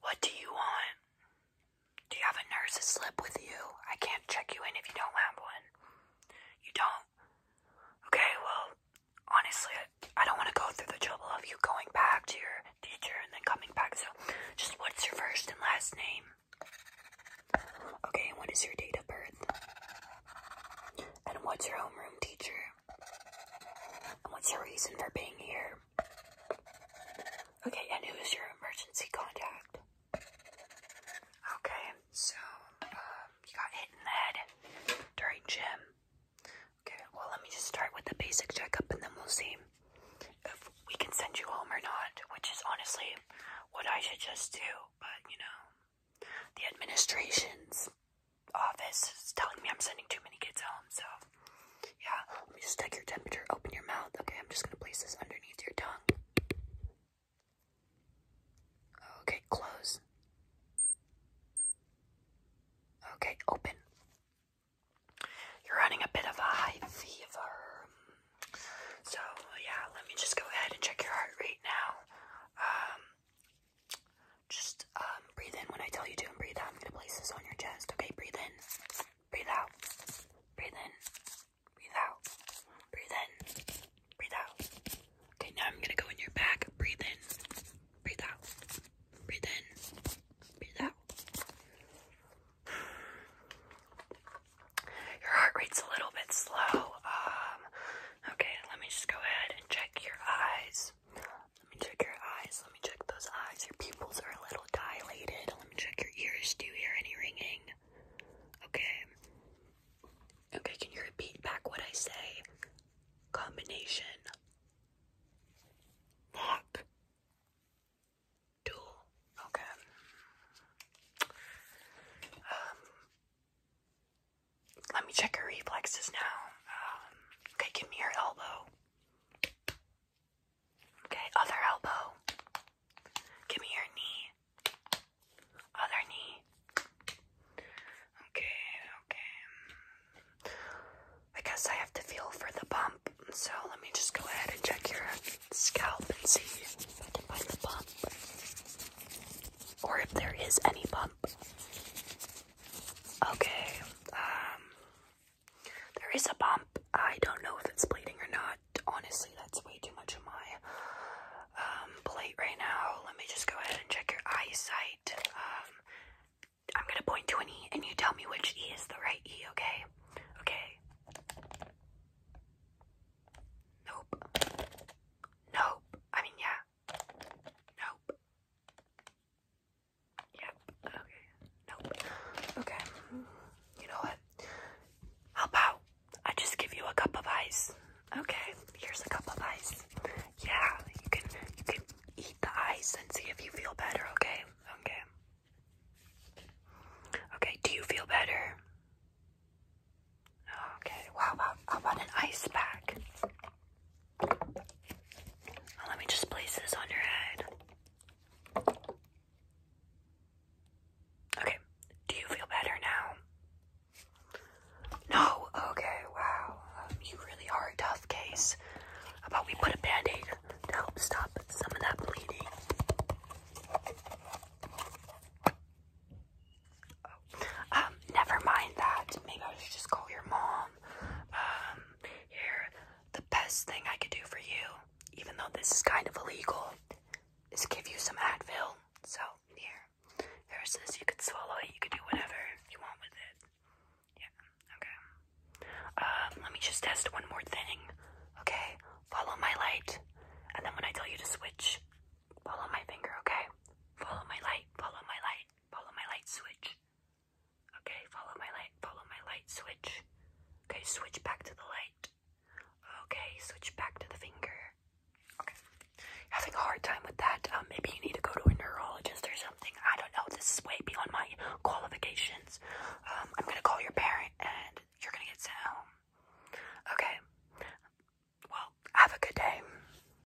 What do you want? Do you have a nurse's slip with you? I can't check you in if you don't have one. You don't? Okay, well, honestly, I don't want to go through the trouble of you going back to your teacher and then coming back. So, just what's your first and last name? Okay, what is your date of birth? And what's your homeroom teacher? What's your reason for being here? Okay, and who is your emergency contact? Okay, so um, you got hit in the head during gym. Okay, well, let me just start with the basic checkup and then we'll see if we can send you home or not, which is honestly what I should just do, but you know, the administration's office is telling me I'm sending too many kids home, so yeah. Let me just take your temperature. Open your mouth. Okay, I'm just gonna place this underneath your tongue. Okay, close. Okay, open. You're running a bit of a high fever. So yeah, let me just go ahead and check your heart rate now. Um, just um, breathe in when I tell you to, and breathe out. I'm gonna place this on your chest. Okay, breathe in, breathe out, breathe in, breathe out, breathe in, breathe out. Okay, now I'm gonna go in your back. Breathe in, breathe out, breathe in, breathe out. Your heart rate's a little bit slow. Um, okay, let me just go ahead and check your eyes. Let me check your eyes. Let me check those eyes. Your pupils are a little dilated. Let me check your ears. Do you hear any ringing? Okay. Okay, can you repeat back what I say? Combination. Lock. Dual. Okay. Um, let me check her reflexes now. Um, okay, give me your elbow. Okay, other elbow. Give me your knee. Other knee. Okay, okay. I guess I have to feel for the bump. So let me just go ahead and check your scalp and see if I find the bump. Or if there is any bump. Okay, um, there is a bump. I don't know if it's bleeding or not. Honestly, that's way too much of my um, plate right now. Let me just go ahead and check your eyesight. Um, I'm gonna point to an E and you tell me which E is the right E, okay? Okay. Nope. Nope. I mean, yeah. Nope. Yep. Okay. Nope. Okay. You know what? How about I just give you a cup of ice? Okay. Here's a cup of ice. Yeah. You can you can eat the ice and see if you feel better. Okay. Okay. Okay. Do you feel better? Okay. Wow. Wow. about an ice pack? Oh, let me just place this on your head. Okay, do you feel better now? No? Okay, wow. Um, you really are a tough case. How about we put a band to help stop some of that bleeding? Um, never mind that. Maybe I should just call your mom. Um, here, the best thing I could do for you, even though this is kind of illegal, is give you some Advil. So, here. There's this. You could swallow it. You could do whatever you want with it. Yeah, okay. Um, let me just test one more thing. Okay, follow my light. And then when I tell you to switch, follow my finger, okay? Follow my light, follow my light. Follow my light switch. Okay, follow my light. Follow my light switch. Okay, switch back to the light. Okay, switch back to the finger. Okay. Having a hard time with that. Um, maybe you need to go to a neurologist or something. I don't know. This is way beyond my qualifications. Um, I'm gonna call your parent and you're gonna get sent home. Okay. Well, have a good day.